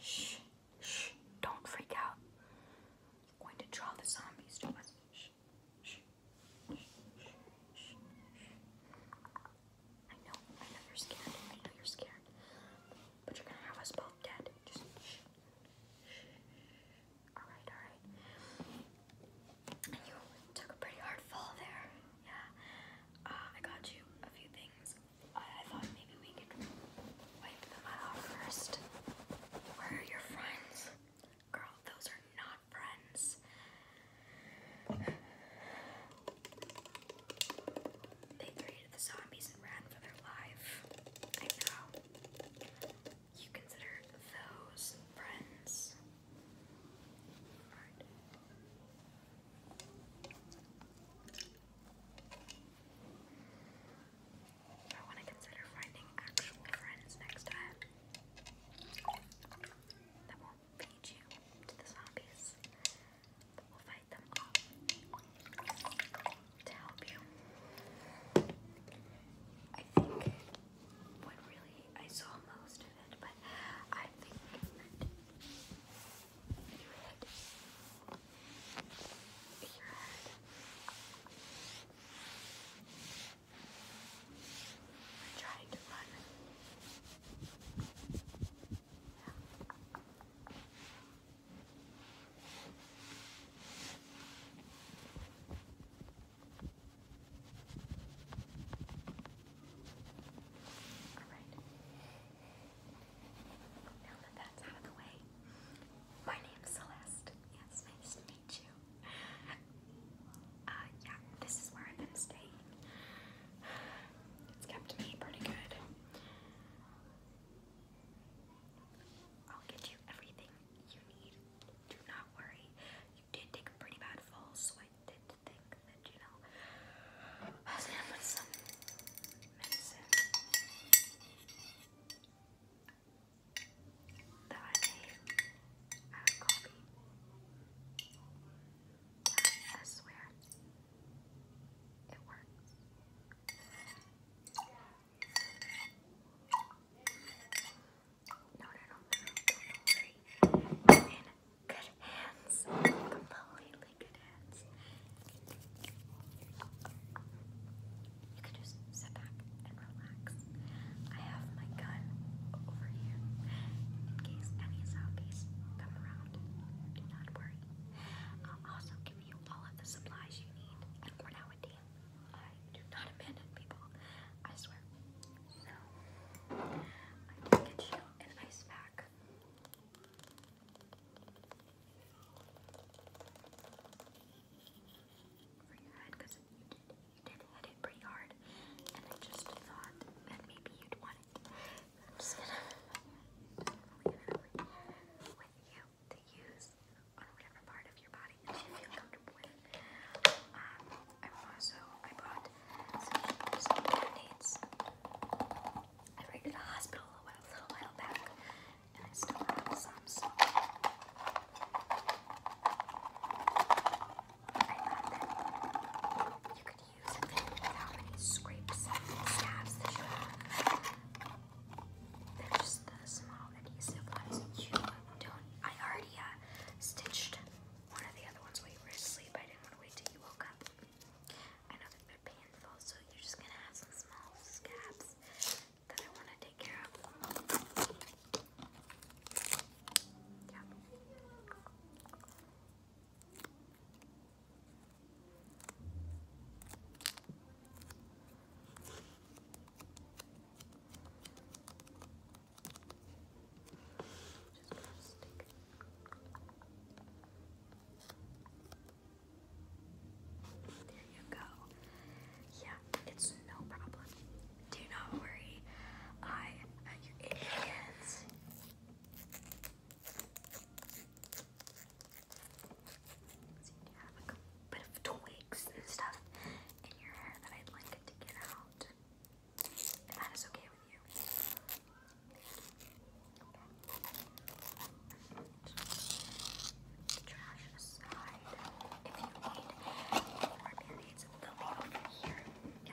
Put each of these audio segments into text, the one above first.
Shh, shh, don't freak out. You're going to draw the zombies to us. Shh, shh, I know, I know you're scared. I know you're scared. But you're gonna have us both dead. Just shh, Alright, alright. you took a pretty hard fall there. Yeah. Uh, I got you a few things. I, thought maybe we could wipe them out first. Where are your friends? Girl, those are not friends. They created the zombies and ran for their life. I know. You consider those friends. I want to consider finding actual friends next time that won't feed you to the zombies, but will fight them off to help you. I think what really I saw most of it, but I think your head. We're trying to run. Yeah. All right. Now that that's out of the way, my name's Celeste. It's nice to meet you. Uh, yeah, this is where I've been staying. It's kept me pretty good. I'll get you everything you need. Do not worry. You did take a pretty bad fall, so I did think treatment, you know. I was gonna put medicine that I made out of I swear, it works. No, no, no, no, don't worry. And Good hands. Completely good hands. You can just sit back and relax. I have my gun over here in case any zombies come around. Do not worry. I'll also give you all of the supplies you need. we're now a team. I do not abandon people. I swear. So, I did get you an ice pack for because you did, you did hit it pretty hard and I just thought that maybe you'd want it. I'm just gonna leave it with you to use on whatever part of your body you feel comfortable Um, i also, I bought some band-aids I ran to the hospital a little while back, and I still have some, so you could use it without any scrapes and stabs that you have. They're just the small adhesive ones you don't. I already uh, stitched one of the other ones while you were asleep. I didn't want to wait till you woke up. I know they're painful, so you're just gonna have some small scabs that I want to take care of. Yeah. There you go. Yeah, it's no problem. Do not worry. I am uh, your idiots. bit of twigs and stuff in your hair that I'd like it to get out. If that is okay with you. Trash aside, if you need more periods, they'll be here. Yeah.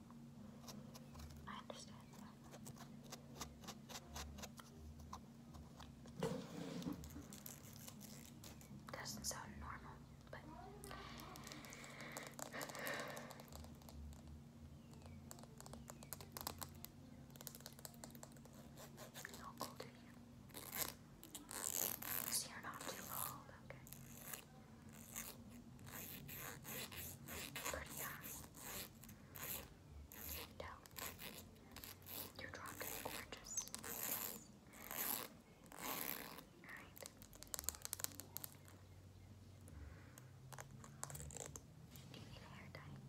I understand Doesn't sound normal, but how not too cold, okay. Pretty eyes. No. Your drop is gorgeous. Alright. Do you need hair dye?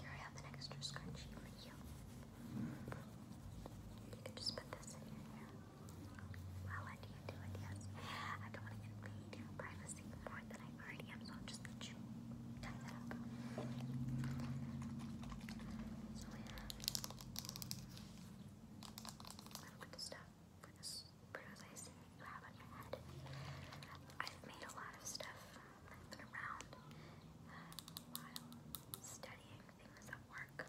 Here I have an extra scrunchie for you. You can just put this in your hair. Well, you I don't want to invade your privacy more than I already am, so I'll just let you tie up. So, yeah. I've made a lot of stuff around while studying things at work.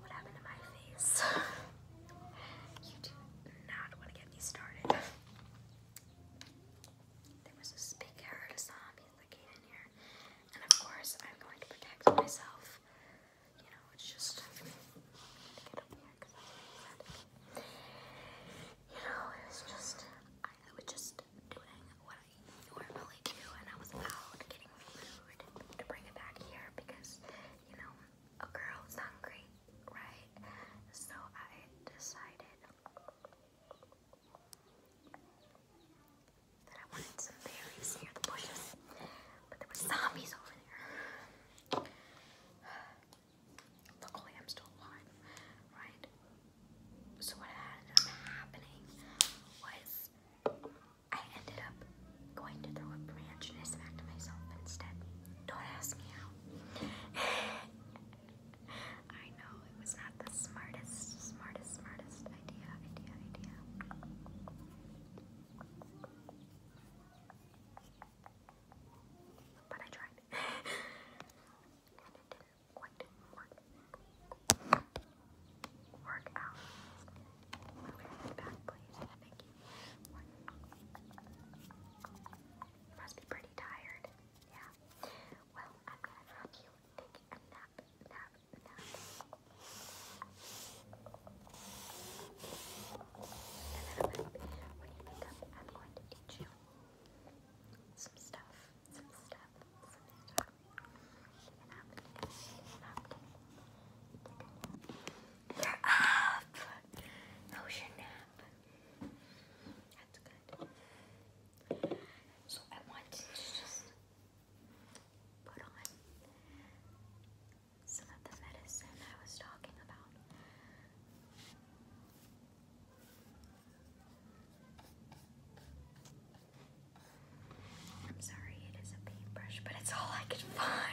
What happened to my face? You do not want to get me started. There was a big herd of zombies that came in here. And of course, I'm going to protect myself. You know, it's just. You know, it was just. I, was just doing what I normally do, and I was out getting food to bring it back here because, you know, a girl's hungry, right? So I decided. That I wanted some berries near the bushes, but there were zombies over there. Luckily, I'm still alive, right? So what ended up happening was I ended up going to throw a branch and I smacked myself instead. Don't ask me how. I know it was not the smartest, smartest, smartest idea, idea, idea. But I tried. and it didn't quite work. out. Okay, back please. Thank you. You must be pretty tired. Yeah yeah. Well, I'm gonna have you take a nap, nap, nap. when you wake up, I'm going to teach you some stuff, some stuff, some stuff. you're up! How your nap? That's good. So I want to just put on some of the medicine I was talking about. I'm sorry, it is a paintbrush, but it's all I could find.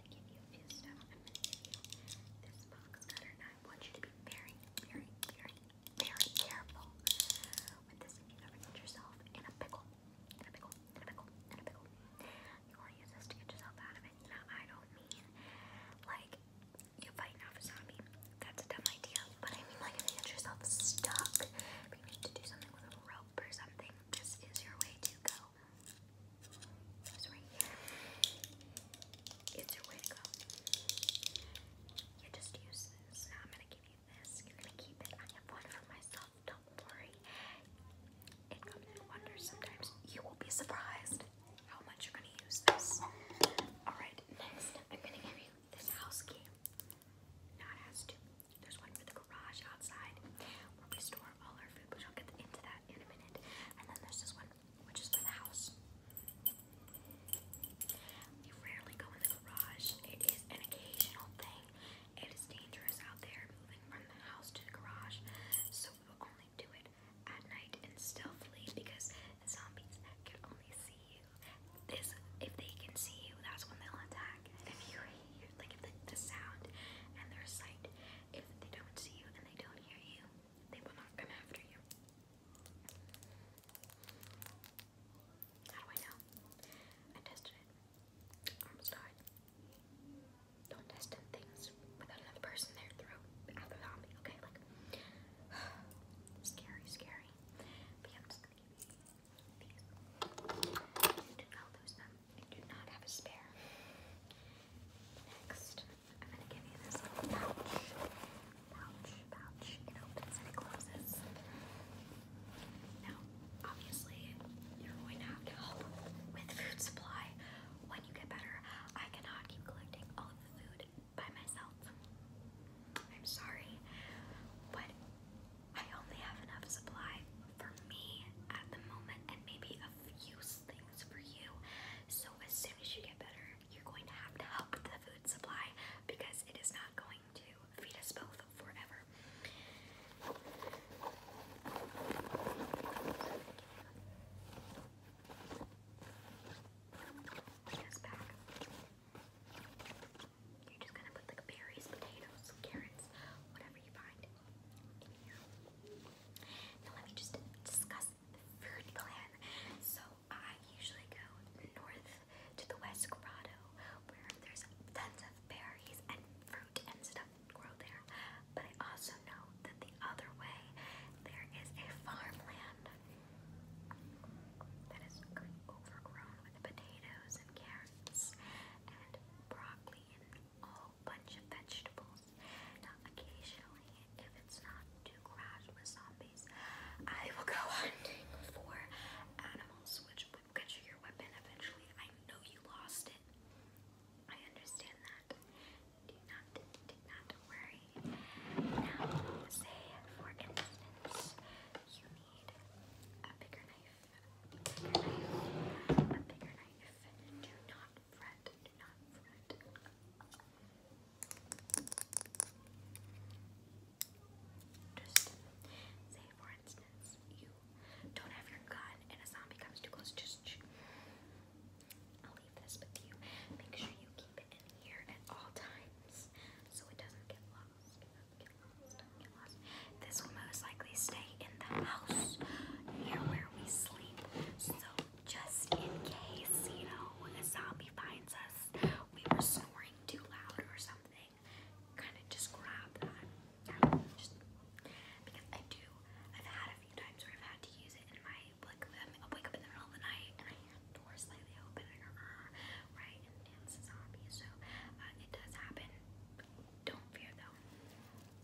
gonna give you a few stuff. I'm gonna give you this box cutter, and I want you to be very, very, very, very careful with this. If you ever get yourself in a pickle, in a pickle, in a pickle, in a pickle, you want to use this to get yourself out of it. Now, I don't mean like you fighting off a zombie. That's a dumb idea. But I mean like if you get yourself stuck, if you need to do something with a rope or something, this is your way to go. It was right here. It's You just use this. I'm gonna give you this. You're gonna keep it. I have one for myself. Don't worry. It comes in wonders sometimes. You will be surprised how much you're gonna use this. Alright, next I'm gonna give you this house key. Now it has There's one for the garage outside where we store all our food, which I'll get into that in a minute. And then there's this one, which is for the house. You rarely go in the garage. It is an occasional thing. It is dangerous out there moving from the house to the garage. So we will only do it at night and stealthily because zombies can only see you. This, if they can see you, that's when they'll attack. if you hear, like, the sound and their sight if they don't see you and they don't hear you, they will not come after you. How do I know? I tested it. Almost died. Don't test things without another person there through after zombie, okay? Like scary, scary. But yeah, I'm just gonna give you these. Do not lose them. I do not have a spare. Next, I'm going to give you this little pouch. Pouch, pouch. It opens and closes. Now, obviously, you're going to have to help with food supply when you get better. I cannot keep collecting all the food by myself. I'm sorry, but I only have enough supply for me at the moment and maybe a stuff, use things for you. So as soon as you get better, you're going to have to help the food supply because it is not going to feed us both forever. Back. You're just gonna put like berries, potatoes, carrots, whatever you find. Now let me just discuss the food plan. So I usually go north to the West Grotto where there's tons of berries and fruit and stuff grow there. But I also know that the other way there is a farmland that is overgrown with potatoes and carrots and broccoli a whole bunch of vegetables. occasionally, if it's not too crowded with zombies, I will go hunting for animals, which will catch you your weapon eventually. I know you lost it. I understand that. Do not, do not worry. Now, say, for instance, you need a bigger knife. A Do not fret. Do not fret. Just say, for instance, you don't have your gun and a zombie comes too close. Just I'll leave this with you. Make sure you keep it in here at all times so It doesn't get lost. This will most likely stay in the house near where we sleep. So just in case, you know, a zombie finds us, we were snoring too loud or something. Kind of just grab that. just, because I do, I've had a few times where I've had to use it in my like I will wake up in the middle of the night and I have the door slightly open right and it's a zombie. So uh, it does happen. Don't fear though. If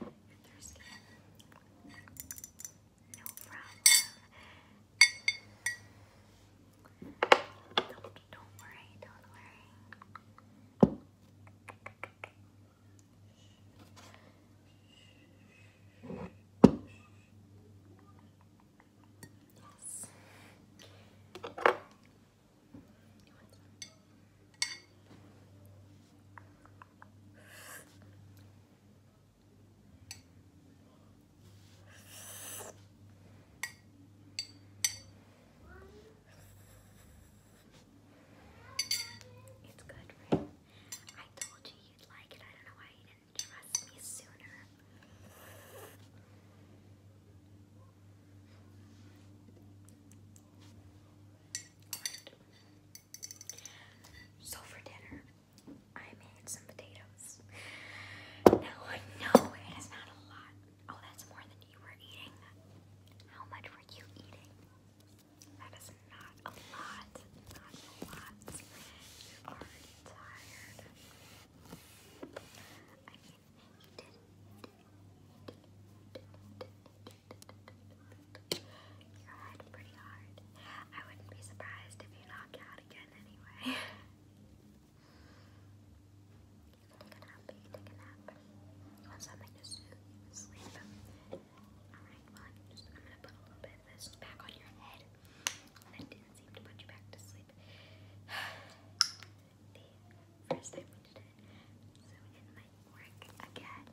you no problem. don't worry, don't worry. Yes. You It's good, I told you you'd like it. I don't know why you didn't trust me sooner. So for dinner, I made some potatoes. Now I know it is not a lot. Oh, that's more than you were eating. How much were you eating? That is not a lot. Not a lot. You are tired. Your head pretty hard. I wouldn't be surprised if you knock out again anyway. you can take a nap, you can take a nap. You want something to sleep. Alright, well I'm gonna put a little bit of this back on your head. That didn't seem to put you back to sleep. the first time we did so it might work again.